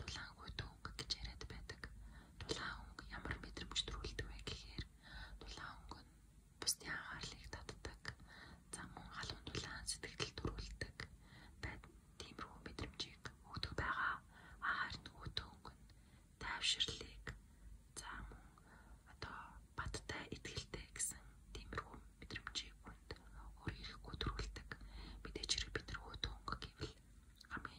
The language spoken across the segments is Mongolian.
дулаан хүйт өнгө гэж яриад байдаг. Дулаан өнгө ямар мэдрэмж төрүүлдэг вэ гэхээр дулаан өнгө нь бусдын анхаарлыг татдаг. Зам мөн халуун дулаан сэтгэл төрүүлдэг. Бад тиймэрхүү мэдрэмжийг өгдөг байгаа. Харин хүйт өнгө нь тайвширлыг зам одоо баттай ихтэй гэсэн тиймэрхүү мэдрэмжийг өгдөг. Өөр ирэхгүй төрүүлдэг. Мэдээж хэрэг бид нар хүйт өнгө гэвэл хамгийн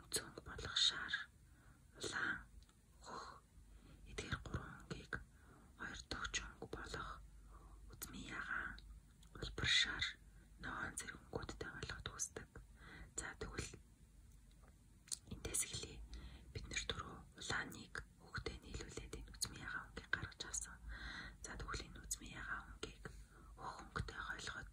үндсөнд болох шар, улаан, хөх эдгээр гурван өнгийг хоёр тогч өнгө болох үзмийн ягаан, улбар шар, ногоон зэрэг өнгөтэй болгоход үүсдэг. За тэгвэл эндээс эхлэе. Бид нэр түрүү улааныг хөхтэй нийлүүлээд энэ үзмийн ягаан өнгийг гаргаж авсан. За тэгвэл энэ үзмийн ягаан өнгийг хөх өнгөтэй ойлгоход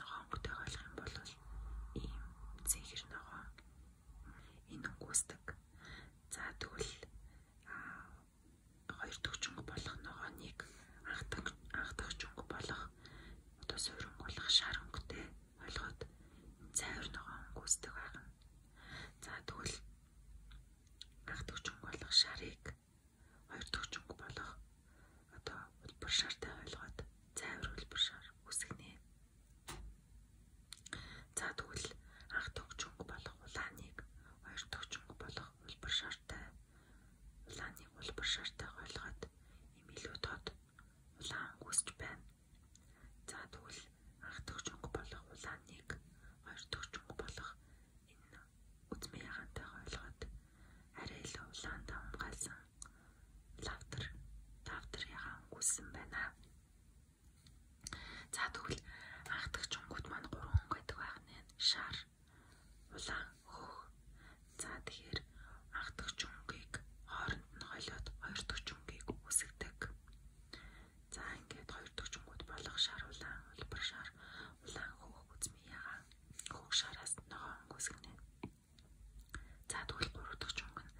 ногоонгүй ойлгох юм бол ийм зэхэр ногоон энэ үгүйсдэг. За тэгвэл хоёр төгчөнгө болох ногооныг анхдаг анхдагч өнгө болох одоо суурин болох шар өнгөтэй ойлгоод цайвар ногоон өнгөсдөг байгаа. За тэгвэл анхдагч өнгө болох шарыг хоёр төгчөнгө болох одоо хөдөлбөр шартай ойлгоод зайвар хөдөлбөр шар үсгэнэ. За тэгвэл анх тогч өнгө болох улааныг хоёр тогч өнгө болох хөдөлбөр шартай улааныг хөдөлбөр шартай ойлгоод им илүү тод улаан үсч байна. За тэгвэл анх тогч өнгө болох улааныг хоёр тогч өнгө болох энэ үзмээ ягантайгаа ойлгоод арай илүү улаан давмгаалсан лавтар лавтар ягаан үгүйсэн байна. За тэгвэл анхдаг чонгууд маань гурван хүн гэдэг байх нь шар улаан хөх. За тэгэхээр анхдаг чонгийг хооронд нь хойлоод хоёр дахь чонгийг үсгдэг. За ингээд хоёр дахь чонгууд болох шар улаан улбар шар улаан хөх үзмээ ягаан Хөх шараас ногоон гүсгэнэ. За тэгвэл 3 дахь чүнг нь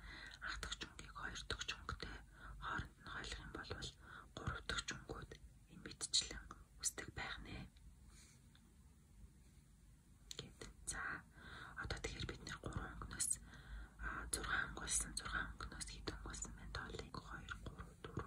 ах дахь чүнгийг 2 дахь чүнгтэй хооронд нь хойлох юм бол 3 дахь чүнгүүд энэ мэдчлэн үсдэг байх нэ. Гэт. За одоо тэгэхээр бид нэр 3 өнгнөөс 6 өнгөлсөн 6 өнгнөөс хэд өнгөлсөн байна? 7 2 3 4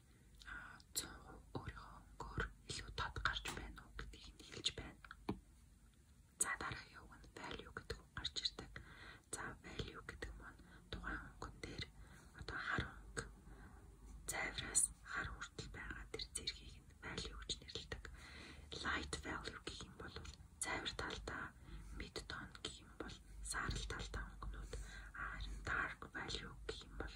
100% өөрийнхөө өнгөөр илүү тод гарч байна уу гэдгийг нь хэлж байна. За дараагийн үг нь value гэдэг үг гарч ирдэг. За value гэдэг маань тухайн өнгөн дээр одоо хар өнгө цайвраас хар хүртэл байгаа тэр зэргийг нь value гэж нэрлэдэг. Light value гэх юм бол цайвар талдаа mid tone гэх юм бол саарал талдаа өнгөнүүд. Аа dark value гэх юм бол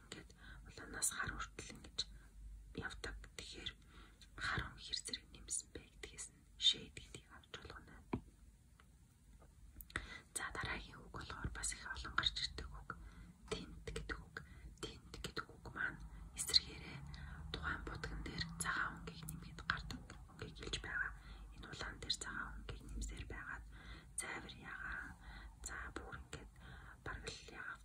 ингээд улаанаас хар хүртэл ингэж явдаг. Тэгэхээр хар хум хэр зэрэг нэмсэн бэ гэдгээс нь shade гэдгийг авч болгоно. За дараагийн үг болохоор бас их олон гарч ирдэг үг. Тинт гэдэг үг. Тинт гэдэг үг маань эсэргээрээ тухайн будган дээр цагаан өнгийг нэмгээд гардаг өнгийг хэлж байгаа. Энэ улаан дээр цагаан өнгийг нэмсээр байгаад зайвар ягаан за бүр ингээд бараг л ягаан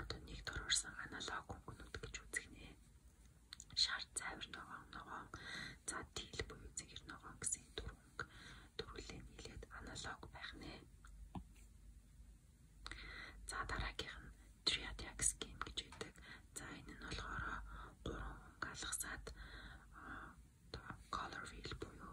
одоо нэг төрөрсөн аналог өнгөнүүд гэж үзэх нэ. Шар цайвар ногоон ногоон за тил буюу зэгэр ногоон гэсэн дөрөнг дөрвөлээ нийлээд аналог байх нэ. За дараагийнх нь triadic scheme гэж үүдэг. За энэ нь болохоор гурван өнгө алгасаад color wheel буюу